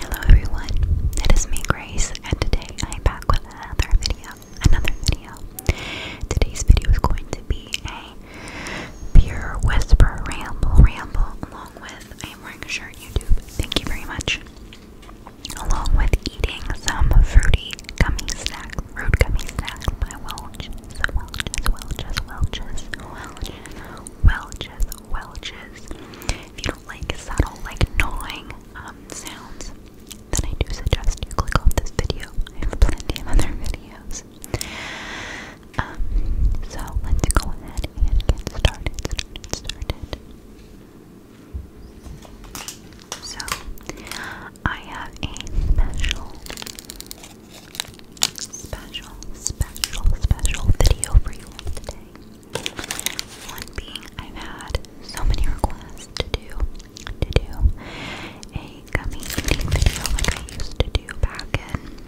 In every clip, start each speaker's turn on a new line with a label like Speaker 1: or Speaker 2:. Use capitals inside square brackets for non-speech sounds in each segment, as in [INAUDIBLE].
Speaker 1: Hello everyone, it is me Grace and today I am back with another video, another video. Today's video is going to be a pure whisper ramble ramble along with I am wearing a shirt YouTube. Thank you very much. Along with eating some fruity gummy snacks, fruit gummy snacks by Welch. Welches, Welches, Welches, Welches, Welches, Welches. If you don't like subtle, like gnawing um, sounds, then I do suggest you click off this video. I have plenty of other videos. Um, so let's go ahead and get started, started, started. So, I have a special special, special, special video for you today. One being, I've had so many requests to do, to do a gummy eating video like I used to do back in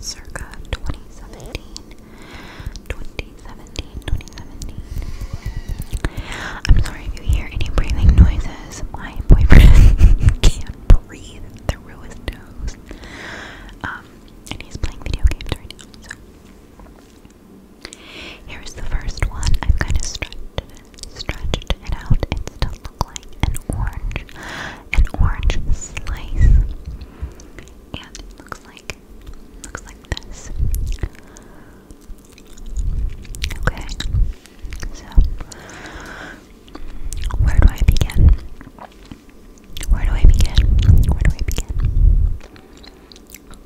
Speaker 1: circa 2017, 2017, 2017. I'm sorry if you hear any breathing noises. My boyfriend [LAUGHS] can't breathe through his nose. Um, and he's playing video games right now. So here's the first one. I've kind of stretched stretched it out. It still looks like an orange, an orange slice, and looks like looks like this. Okay, so where do I begin? Where do I begin? Where do I begin?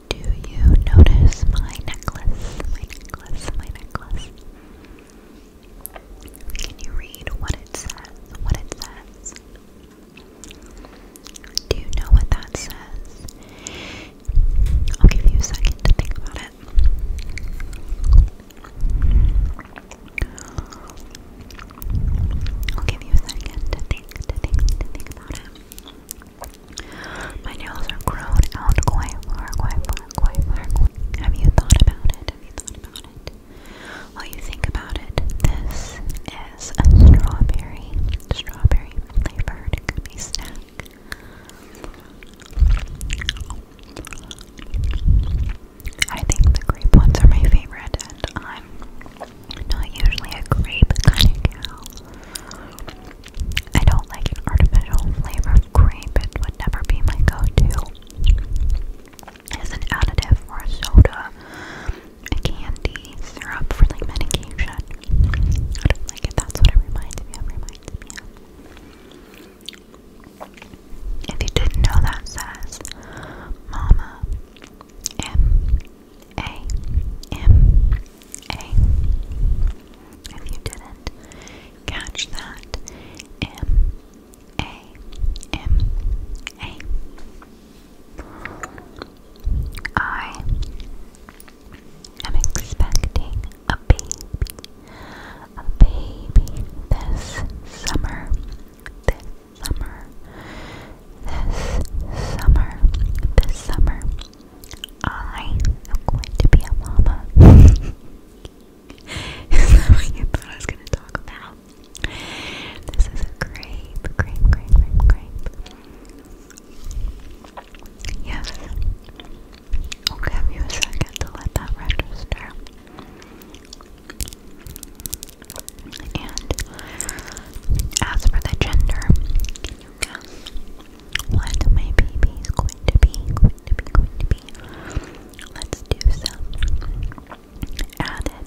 Speaker 1: Do you notice my necklace? My necklace, my necklace. Can you read what it says? What it says? Do you know what that says? I'll give you a second to think about it. I'll give you a second to think, to think, to think about it. My nails are grown out quite far, quite far, quite far. Have you thought about it? Have you thought about it? While you think about it, this is a strawberry, strawberry flavored gummy snack. I think the grape ones are my favorite, and I'm not usually a grape kind of gal. I don't like an artificial flavor of grape, it would never be my go to. As an additive for a soda, a candy, syrup for like medication. I don't like it, that's what it reminds me of. If you didn't know that says Mama M A M A. If you didn't catch that M A M A. I am expecting a baby, a baby this summer, this summer, this summer, this summer. I am going to be a mama. [LAUGHS] Is what you thought I was going to talk about? This is a grape, grape, grape, grape, grape. Yes, I'll give you a second to let that register. And as for the gender, what my baby is going to be? Going to be, going to be. Let's do some added,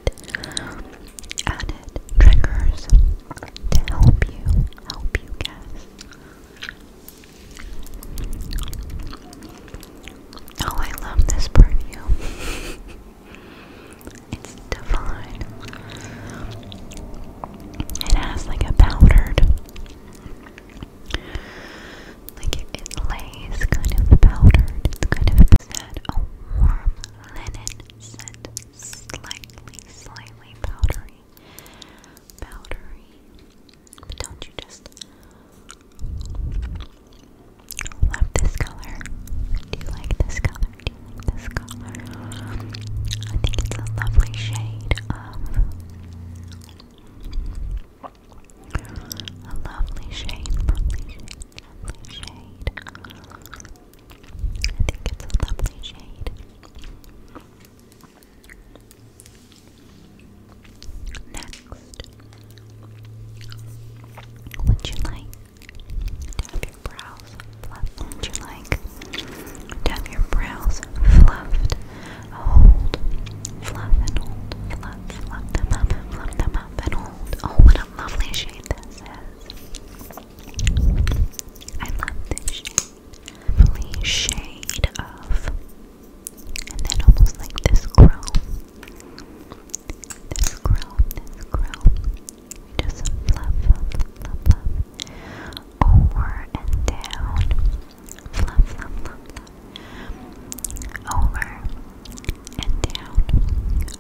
Speaker 1: added triggers to help you, help you guess. Oh, I love this perfume. [LAUGHS] it's divine. It has like a powdered, like it, lays kind of powdered. It's kind of a warm linen scent, slightly, slightly powdery, powdery don't you just love this color? Do you like this color? Do you like this color? I think it's a lovely shade of a lovely shade, lovely shade. I think it's a lovely shade. Next, would you like to your brows fluffed? Would you like to your brows fluffed? Hold, fluff them up, fluff them up and hold. Oh, what a lovely shade this is! I love this shade. Lovely shade of and then almost like this grow, this grow, this grow, just fluff, fluff, fluff, fluff, over and down, fluff, fluff, fluff, fluff, over and down,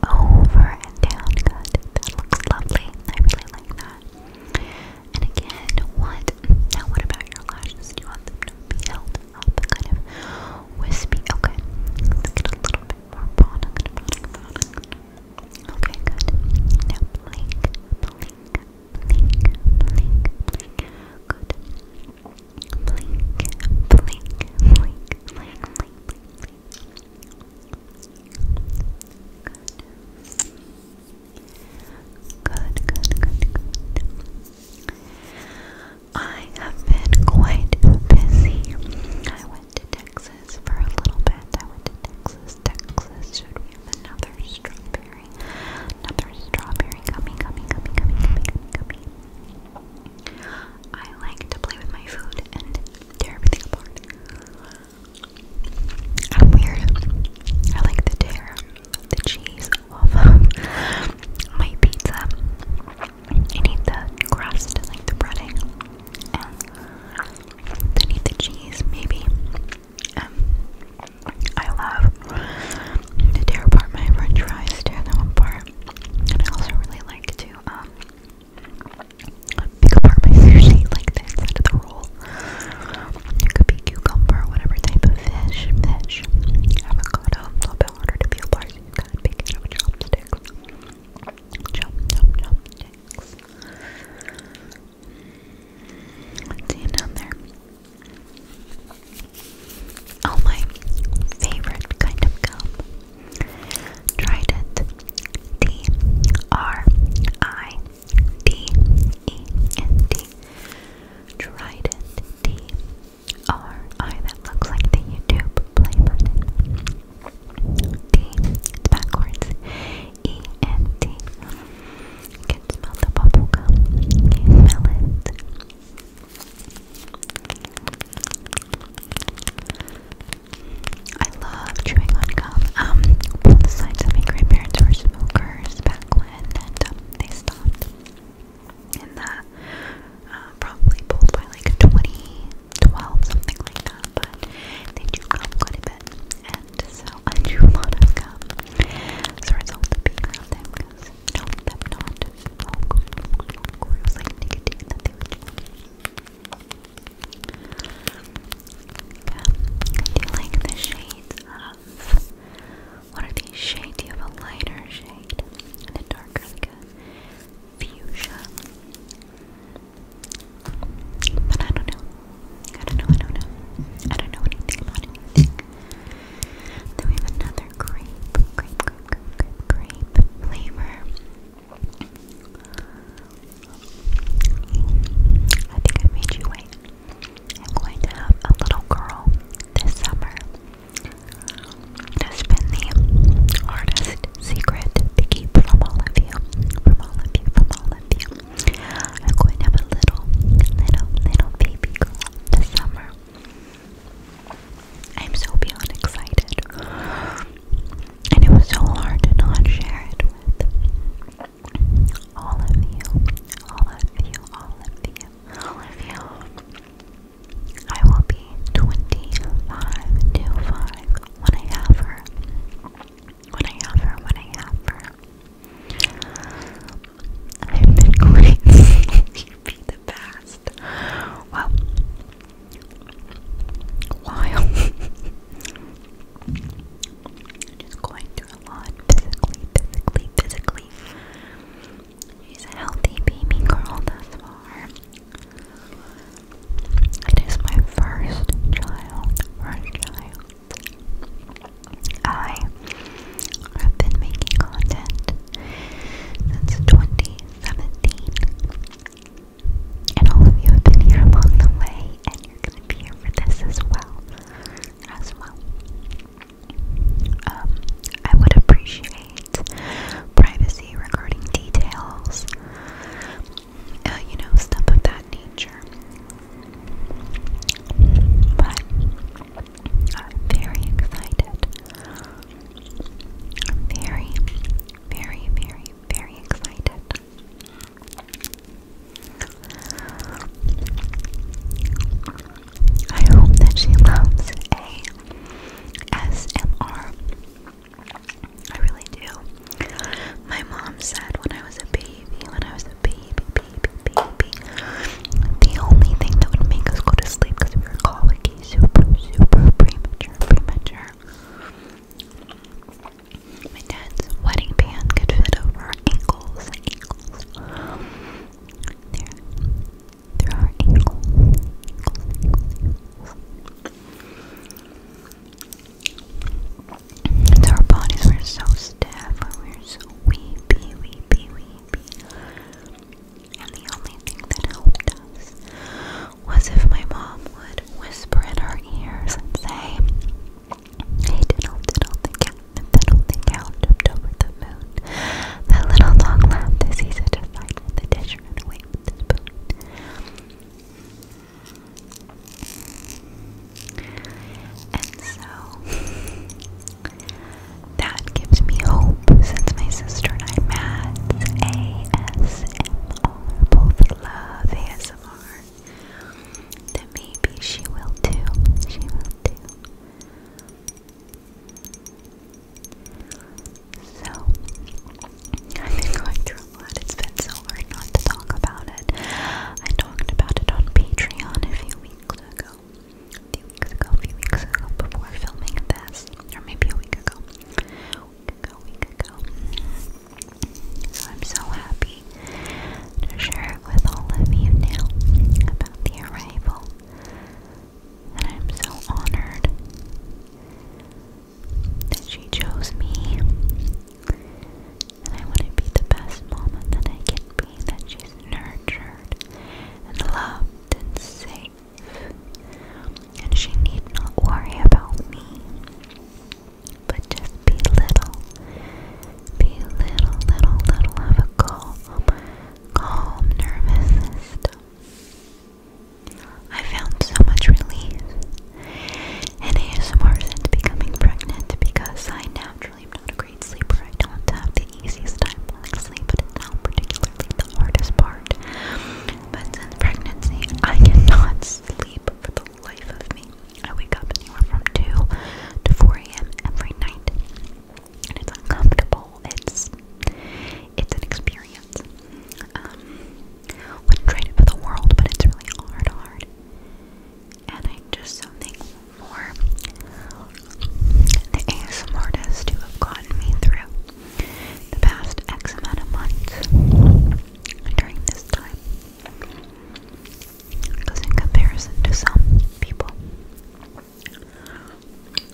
Speaker 1: over and down, good, that looks lovely, I really like that. And again, what, now what about your lashes? Do you want them to be held up, kind of wispy. Okay, let's a little bit more product, Okay, good. Now blink, blink, blink, blink, Good. Blink, blink, blink, blink, blink, blink, good, good. I have been quite busy. I went to Texas for a little bit. I went to Texas, Texas. Should we have another strawberry? Another strawberry gummy, gummy, gummy, gummy, gummy, I like to play with my food and tear everything apart. I'm weird. I like to tear the cheese off [LAUGHS] my pizza. I need the crust, like the breading, and I need the cheese, maybe. Um, I love to tear apart my french fries, tear them apart, and I also really like to um, pick apart my sushi, like the inside of the roll. It could be cucumber, whatever type of fish, fish. Avocado avocado. It's a little bit harder to peel bars. You gotta it up chopsticks. Chop, chop, chopsticks. Let's see another. Oh, my favorite kind of gum. Trident. D R I D E N T. Trident. D R I oh, that looks like the YouTube play button. D backwards. E and You smell the bubble gum. you smell it? I love chewing on gum. Um, one of my grandparents were smokers back when, and um, they stopped in the uh, probably pulled by like 2012, something like that. But they do come quite a bit, and so [LAUGHS] I do a lot of gum. So it's all the being around them because no, them not smoke, smoke, or it was like nicotine that they would do. I do like the shades um, what are these shades? You have a lighter shade and a darker, fuchsia. But I don't know. I don't know. I don't know. I don't know anything about anything. Then we have another grape, grape, grape, grape, grape flavor. I think I made you wait. I'm going to have a little girl this summer. It has been the hardest secret to keep from all of you, from all of you, from all of you. I'm going to have a little, little, little baby girl this summer. I'm so beyond excited. And it was so hard to not share it with all of you, all of you, all of you, all of you. I will be 25 to 5 when I have her. When I have her, when I have her. I've been great. You'd be the best. Well, [LAUGHS] while just going through a lot physically, physically, physically, She's a healthy baby girl thus far. It is my first child, first child. I have been making content since 2017, and all of you have been here along the way, and you're gonna be here for this as well, as well. Um, I would appreciate privacy regarding details, uh, you know, stuff of that nature. But I'm very excited. I'm very, very, very, very excited. I hope that she loves ASMR. I really do. My mom said when I was a baby, when I was a baby, baby, baby, the only thing that would make us go to sleep because we were colicky, super, super premature, premature. My dad's wedding band could fit over our ankles, ankles. There through our ankle. So our bodies were so stiff and we were so weepy, weepy, weepy. And the only thing that helped us was if my mom would whisper in our ears and say, Hey diddle diddle the cat that only count jumped over the moon. That little dog laughed as he set to fight with the dish and ran away with the spoon. And so, that gives me hope since my sister and I mad ASMR, both love ASMR, that maybe she will too. She will too. So, I've been going through a lot. It's been so hard not to talk about it. I talked about it on Patreon a few weeks ago. A few weeks ago, a few weeks ago, before filming this. Or maybe a week ago. week ago, week ago. So I'm so happy to share it with all of you now about the arrival and I'm so honored that she chose me. And I want to be the best mom that I can be, that she's nurtured and loved and safe. And she need not worry about me. But just be little. Be little, little, little of a girl calm nervous I found so much relief and in more since becoming pregnant because I naturally am not a great sleeper. I don't have the easiest time falling asleep, but it's not particularly the hardest part. But since pregnancy, I cannot sleep for the life of me. I wake up anywhere from 2 to 4 a.m. every night and it's uncomfortable. It's it's an experience. Um, would trade it for the world, but it's really hard, And i just so thankful for the ASM artists who have gotten me through the past X amount of months during this time. Because in comparison to some people,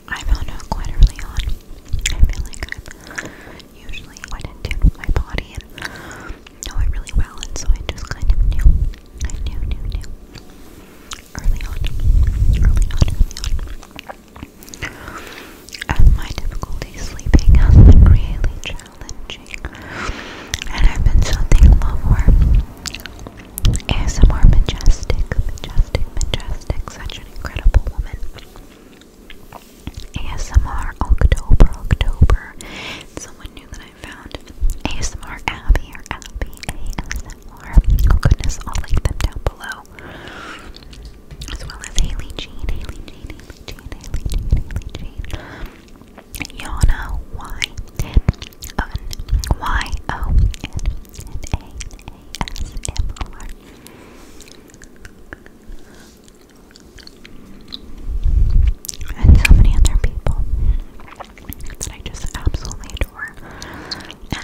Speaker 1: I found out quite early on. I feel like I'm usually quite in my body and know it really well, and so I just kind of knew. I knew, knew, knew. Early on. Early on, early on. my difficulty sleeping has [LAUGHS] been really challenging. And I've been so thankful for ASMR Majestic, Majestic, Majestic, such an incredible woman. ASMR October, October. Someone new that I found. ASMR Abby or Abby Oh goodness, I'll link them down below. As well as Haley Jean, Haley Jean, Haley Haley Jean, Haley Jean. Yana Y oven. And so many other people that I just absolutely adore. And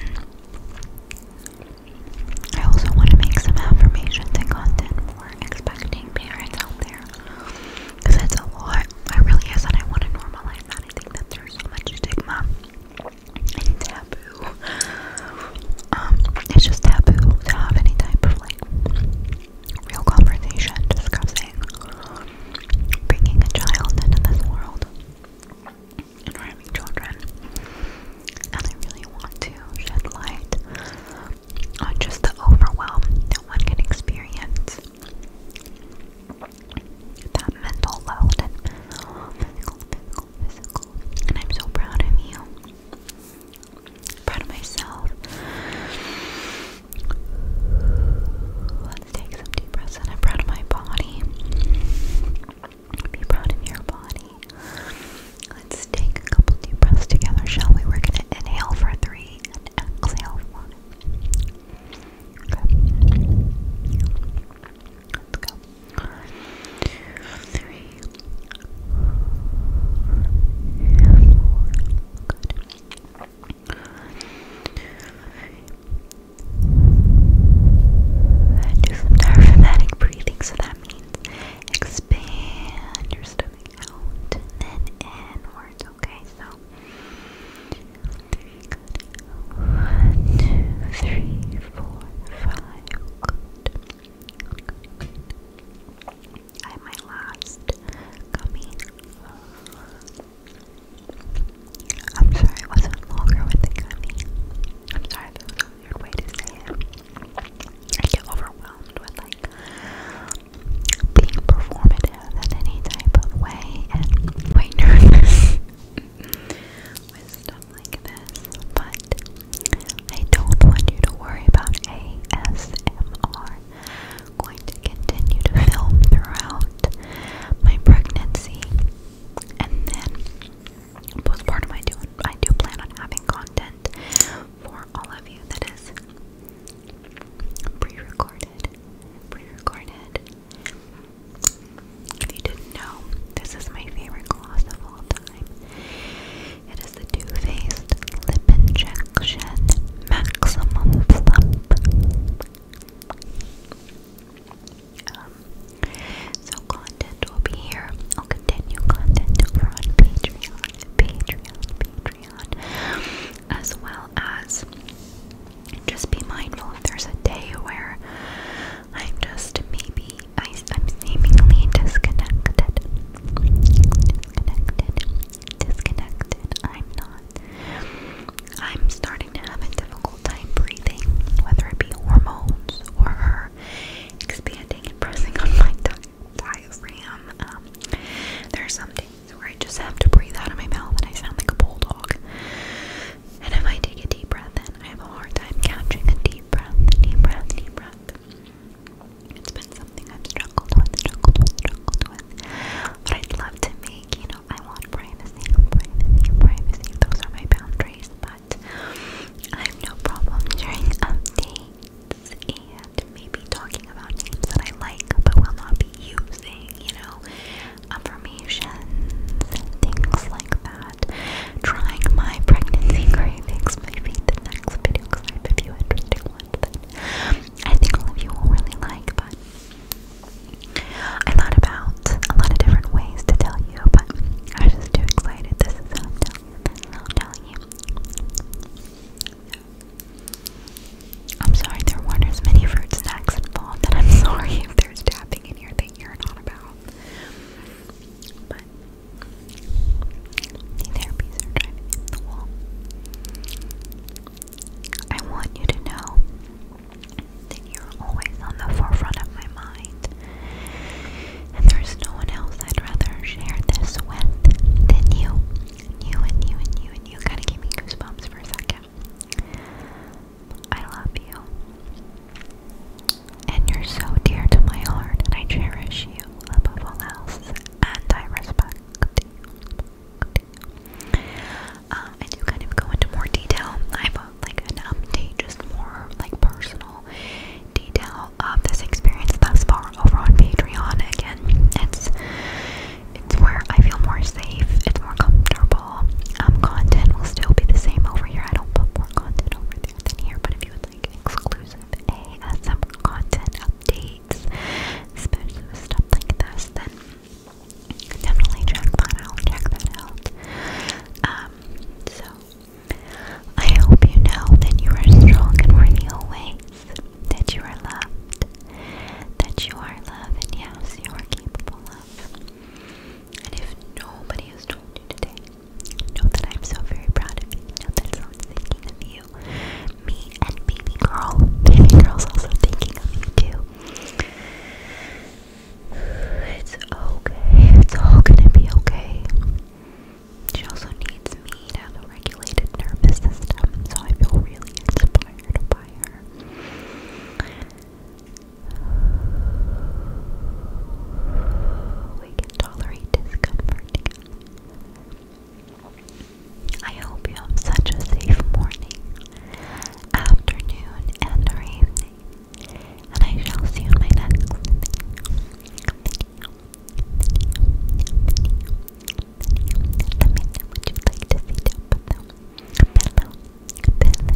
Speaker 1: I also want to make some affirmations and content for expecting parents out there. Because it's a lot. It really is, and I want to normalize that. I think that there's so much stigma and taboo. Um, it's just taboo to have any type of like real conversation discussing bringing a child into this world and having children. And I really want to shed light on just the overwhelm that one can experience that mental load and I'm so proud of you. Proud of myself. Let's take some deep breaths and I'm proud of my body. Be proud of your body. Let's take a couple deep breaths together, shall we? We're gonna inhale for three and exhale for one. Let's go. Three, four. Good. do some diaphragmatic breathing, so that means expand your stomach out and then inwards, okay? So one, two, three, four, five. I have last I'm sorry I wasn't longer with the gummy. I'm sorry that was a weird way to say it. I get overwhelmed with like being performed in any type of way and quite nervous wisdom like this, but I don't want you to worry about ASMR. I'm going to continue to film throughout my pregnancy and then postpartum I do I do plan on having content for all of you that is pre-recorded pre-recorded if you didn't know, this is my favorite gloss of all time. It is the Too Faced Lip Injection Maximum Plump. Um, so content will be here. I'll continue content over on Patreon, Patreon, Patreon, as well as just be mindful if there's a day where I'm just maybe I, I'm seemingly disconnected. Disconnected. Disconnected. I'm not.
Speaker 2: I'm starting to have a difficult time breathing, whether it be hormones or her expanding and pressing on my diaphragm. Um, there are some days where I just have to breathe out of my mouth and I sound like a bulldog. And if I take a deep breath in, I have a hard time catching a deep breath, deep breath, deep breath. It's been something I've struggled with, struggled with, struggled with. But I'd love to make, you know, I want privacy, privacy, privacy. Those are my boundaries, but I have no problem sharing updates and maybe talking about names that I like but will not be using, you know affirmations, things like that. Trying my pregnancy cravings may be the next video because I have a few interesting ones that I think all of you will really like. But I thought about a lot of different ways to tell you, but I just too excited. This is how I'm telling you. I'm sorry there weren't as many fruit snacks involved, and I'm [LAUGHS] sorry if there's tapping in here that you're not about. But the therapies are driving me the I want you to know that you're always on the forefront of my mind. And there's no one else I'd rather share this with than you. You and you and you and you. Gotta give me goosebumps for a second. I love you. And you're so dear to my heart, and I cherish you above all else, and I respect you. Um, I kind of go into more detail. I have uh, like an update, just more like personal detail of this experience thus far over on Patreon. Again, it's it's where I feel more safe. It's more comfortable. Um, content will still be the same over here. I don't put more content over there than here, but if you like exclusive ASMR content updates, especially stuff like this, then definitely check that out. Check that out. Um, so I hope you know that you are strong and worthy always, that you are loved, that you are love, and yes, you are capable of. And if nobody has told you today, know that I'm so very proud of you. Know that someone's thinking of you. Me and baby girl. Baby girl's also thinking of you too. It's okay. It's all gonna be okay. She also needs me to have a nervous system, so I feel really inspired by her. We can tolerate discomfort I hope you have such a safe morning, afternoon, and evening. And I shall see you in my next video. you like to see down below. Below.